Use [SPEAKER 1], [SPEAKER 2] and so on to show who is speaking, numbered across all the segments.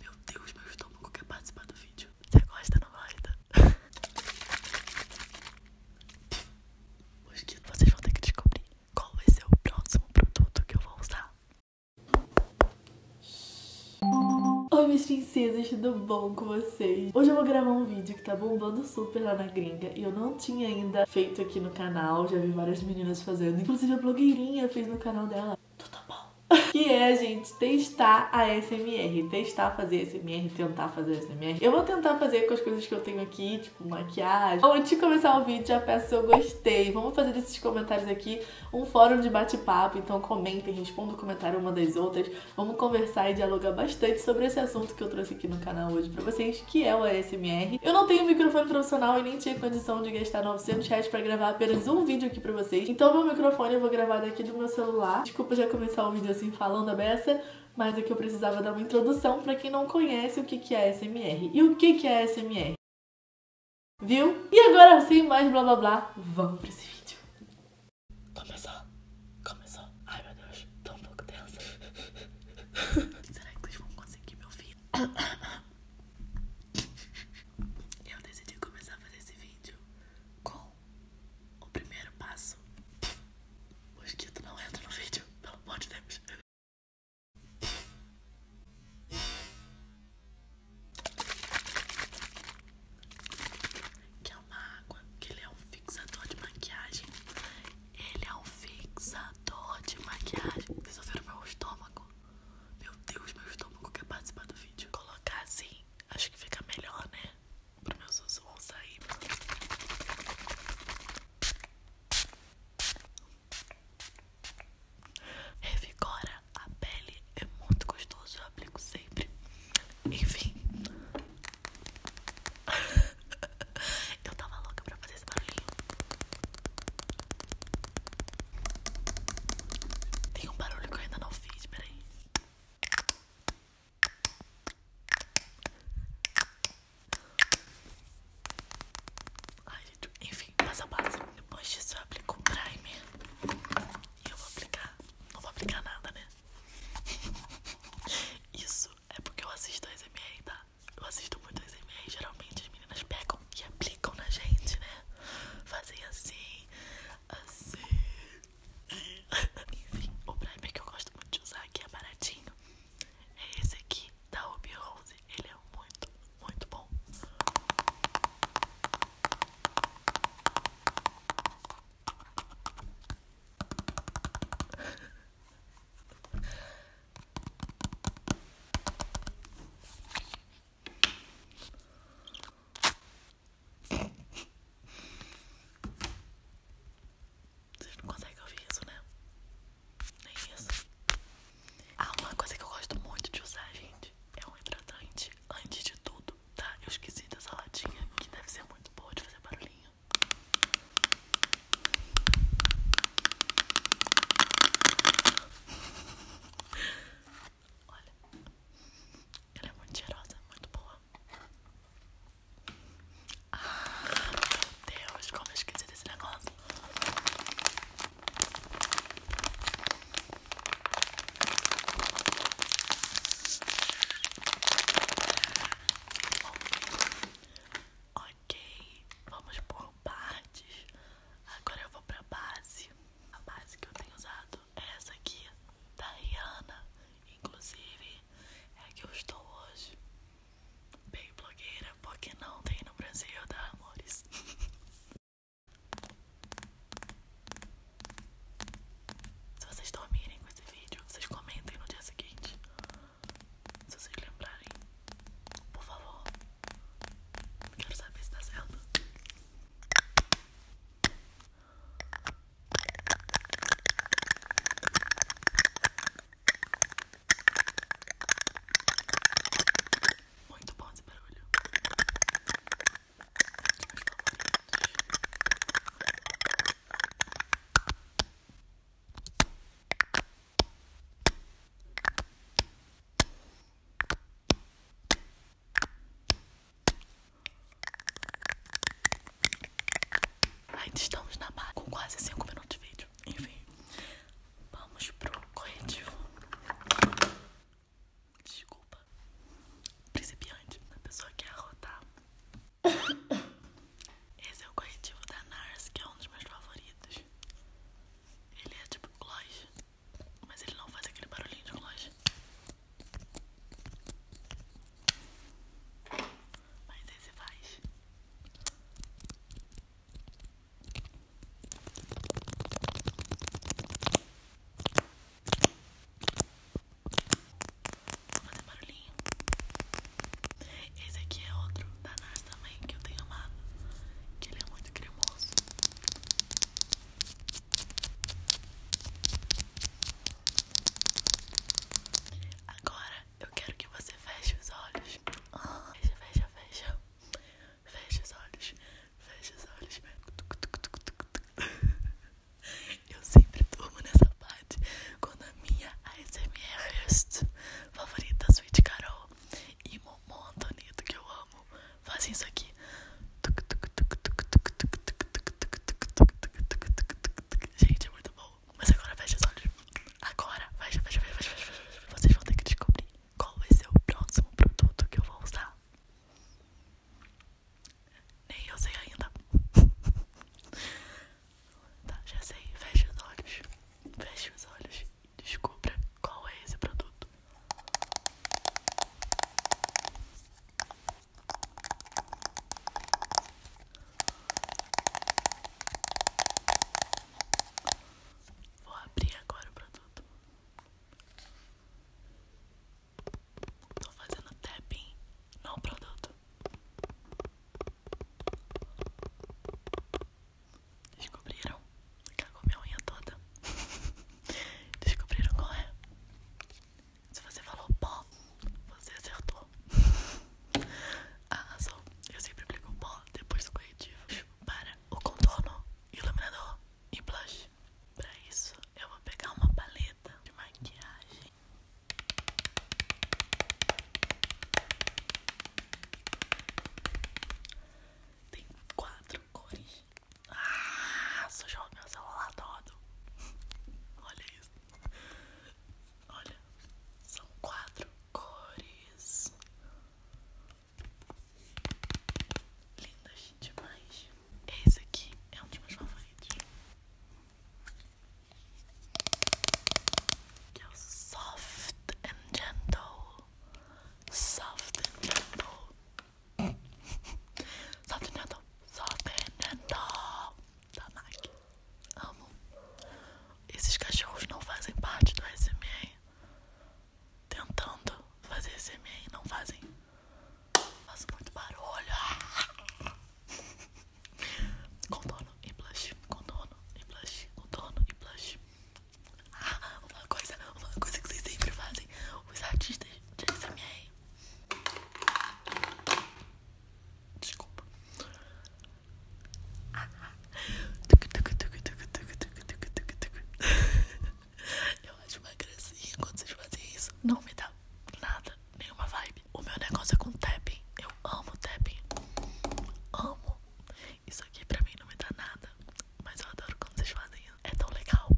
[SPEAKER 1] Meu Deus, meu estômago quer participar do vídeo. Você gosta não gosta? Mosquito, vocês vão ter que descobrir qual vai ser o próximo produto que eu vou usar. Oi, minhas princesas, tudo bom com vocês? Hoje eu vou gravar um vídeo que tá bombando bombando super lá na gringa e eu não tinha ainda feito aqui no canal. Já vi várias meninas fazendo, inclusive a blogueirinha fez no canal dela. Tudo tá bom? Que é, gente, testar a SMR. Testar fazer SMR, tentar fazer SMR. Eu vou tentar fazer com as coisas que eu tenho aqui, tipo maquiagem. antes de começar o vídeo, já peço se eu gostei. Vamos fazer desses comentários aqui um fórum de bate-papo. Então comentem, respondam o comentário uma das outras. Vamos conversar e dialogar bastante sobre esse assunto que eu trouxe aqui no canal hoje pra vocês que é o ASMR. Eu não tenho microfone profissional e nem tinha condição de gastar 900 reais pra gravar apenas um vídeo aqui pra vocês. Então meu microfone eu vou gravar daqui do meu celular. Desculpa já começar o vídeo assim falando a beça, mas é que eu precisava dar uma introdução para quem não conhece o que é ASMR. E o que é ASMR? Viu? E agora sim mais blá blá blá, vamos pra esse vídeo. Começou. Começou. Ai meu Deus. Tô
[SPEAKER 2] um pouco tensa. Será que vocês vão conseguir me ouvir? Eu decidi começar a fazer esse vídeo com o primeiro passo. Mosquito não entra no vídeo, pelo amor de Deus. Que é uma água, que ele é um fixador de maquiagem. Ele é um fixador de maquiagem. Vocês ouviram meu estômago? Meu Deus, meu estômago quer participar do vídeo. Colocar assim, acho que fica melhor, né? Para meus sussurros sair. Revigora a pele, é muito gostoso, eu aplico sempre. Enfim, Eu tava louca pra fazer esse barulhinho. Tem um barulho que eu ainda não fiz, peraí. Ai, gente, enfim, passo a passo. Depois disso eu aplico um primer. E eu vou aplicar. Não vou aplicar nada, né? Isso é porque eu assisto SMR, tá? Eu assisto muito SMR e geralmente as meninas pegam e aplicam na gente, né? Fazem assim, assim. Enfim, o primer que eu gosto muito de usar, que é baratinho, é esse aqui da Ruby Rose. Ele é muito, muito bom. Vocês não conseguem ouvir isso, né? Nem isso. Ah, uma coisa que eu gosto muito de usar, gente, é um hidratante antes de tudo, tá? Eu esqueci dessa latinha, que deve ser muito boa de fazer barulhinho. Olha, ela é muito cheirosa, muito boa. Ah, meu Deus, como esqueci desse negócio. Ok, vamos por partes. Agora eu vou pra base. A base que eu tenho usado é essa aqui, da Rihanna. Inclusive, é a que eu estou hoje. Bem blogueira, porque não tem no Brasil, tá, amores? Se vocês dormirem com esse vídeo, vocês comentem no dia seguinte. Se vocês lembrarem, por favor, quero saber se está certo. Muito bom esse barulho. Meus favoritos. Ainda estamos na barra com quase 5 minutos de vídeo. Enfim, vamos pro corretivo. Desculpa. Principiante, a pessoa quer arrotar Esse é o corretivo da NARS, que é um dos meus favoritos. Ele é tipo gloss, mas ele não faz aquele barulhinho de gloss. Mas esse faz. Vou fazer barulhinho. Esse aqui é outro da Nars também, que eu tenho amado. Que ele é muito cremoso. Agora eu quero que você feche os olhos. Fecha, fecha, fecha. Fecha os olhos. Fecha os olhos. Eu sempre durmo nessa com a minha ASMR favorita, Sweet Carol e Momon Antonito, que eu amo, fazem isso aqui. Gente, é muito bom. Mas agora fecha os olhos. Agora, fecha, fecha, fecha, fecha, fecha, fecha. Vocês vão ter que descobrir qual vai ser o próximo produto que eu vou usar. Nem eu sei ainda. Tá, já sei. Feche os olhos. Feche os olhos e descubra qual é esse produto. Vou abrir agora o produto. Tô fazendo tapping no produto. Descobriram? Que ela comeu a unha toda. Descobriram qual é? Se você falou pó, você acertou. Arrasou. Ah, eu sempre aplico pó depois do corretivo. Para o contorno, iluminador e blush. Pra isso, eu vou pegar uma paleta de maquiagem tem quatro cores. Ah, sujou meu celular todo. Olha isso. Olha, são quatro cores. Lindas demais. Esse aqui é um dos meus favoritos. Just soft and gentle. Soft and gentle. soft and gentle. Soft and gentle. Da Nike. Amo. Esses cachorros não fazem parte do SMA. Tentando fazer SMA, não fazem. Faço muito barulho. Contorno e blush, contorno e blush, contorno e blush. Ah, uma coisa, uma coisa que vocês sempre fazem, os artistas de ASMR. Desculpa. Ah, ah. Eu acho uma gracinha quando vocês fazem isso. Não me dá nada, nenhuma vibe. O meu negócio é com tapping. Eu amo tapping. Amo. Isso aqui pra mim não me dá nada. Mas eu adoro quando vocês fazem É tão legal.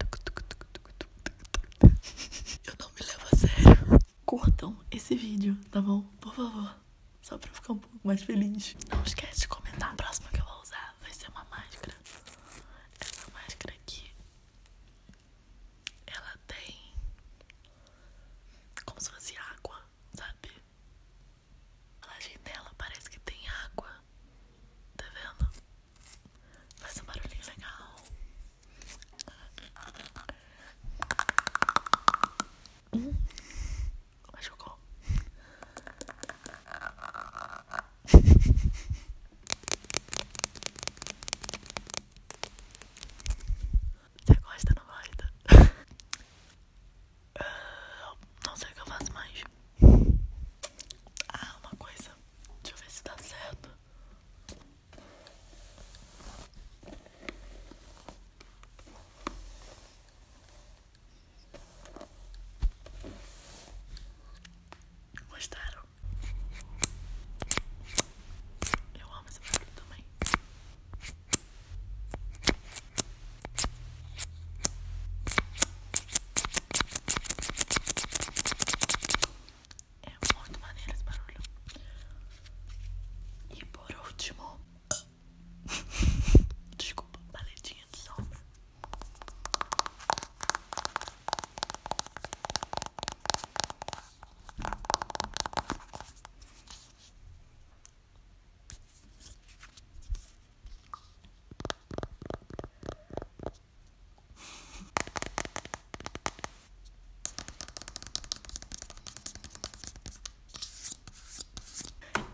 [SPEAKER 1] Eu não me levo a sério. Curtam esse vídeo, tá bom? Por favor. Só pra eu ficar um pouco mais feliz. Não esquece
[SPEAKER 2] de comentar. A próxima que eu vou usar vai ser uma máscara. Essa máscara aqui ela tem como se fosse água, sabe? A laje parece que tem água. Tá vendo? Faz um barulhinho legal. Hum, machucou. Você gosta ou não gosta? Ah, não sei o que eu faço mais. Ah, uma coisa. Deixa eu ver se dá certo. Gostaram? Eu amo esse barulho também. É muito maneiro esse barulho. E por último, desculpa, paletinha de som.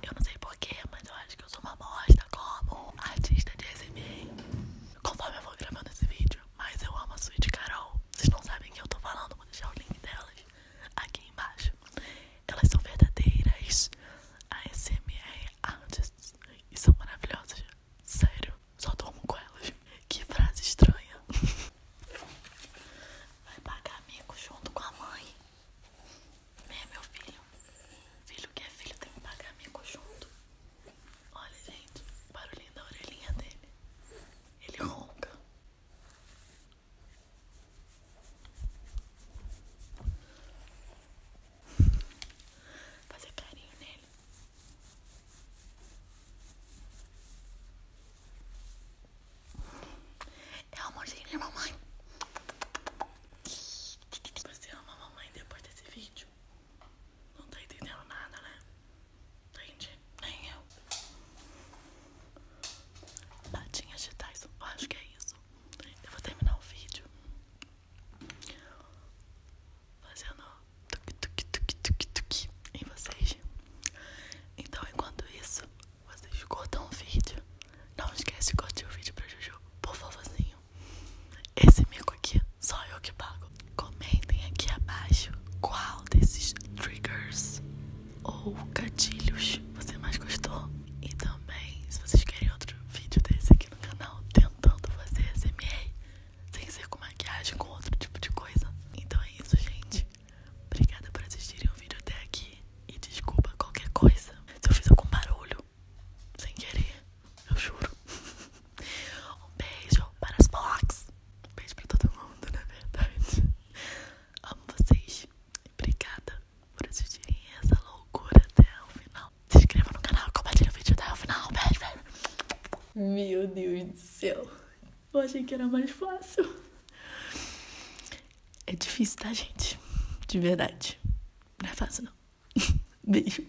[SPEAKER 2] Eu não sei porquê, mas eu acho que eu sou uma bosta como artista de receber. Conforme eu vou gravando esse vídeo, mas eu amo a suíte Carol. Vocês não sabem que eu tô falando, vou deixar o link delas aqui embaixo. Elas são verdadeiras ASMR artists e são maravilhosas. Sério, só dormo com elas. Que frase estranha. Vai pagar amigo junto com a mãe. É meu filho. Filho que é filho tem que pagar amigo junto. Olha, gente, o barulhinho da orelhinha dele. Ele ronca. Fazer carinho nele. É o amorzinho de mamãe. Você ama a mamãe depois desse vídeo? Não tá entendendo nada, né? Entendi, nem eu. Patinhas de Tyson, acho que é isso. Eu vou terminar o vídeo fazendo tuque, tuque, tuque, tuque, tuque em vocês. Então, enquanto isso, vocês cortam o vídeo. Não esquece de curtir o vídeo pra Juju, por favorzinho. Esse mico aqui só eu que pago. Comentem aqui abaixo qual desses triggers ou gatilhos você mais gostou. E também, se vocês querem outro vídeo desse aqui no canal, tentando fazer SMA sem ser com maquiagem, com outro tipo de coisa. Então é isso, gente. Obrigada por assistirem o vídeo até aqui. E desculpa qualquer coisa se eu fiz algum barulho sem querer. Eu juro. Um beijo para as Blogs. Um beijo para todo mundo, na verdade. Amo vocês. Obrigada por assistirem essa loucura até o final. Se inscreva no canal, compartilhe o vídeo até o final. Beijo, beijo.
[SPEAKER 1] Meu Deus do céu. Eu achei que era mais fácil.
[SPEAKER 2] É difícil, tá, gente? De verdade. Não é fácil, não. Beijo.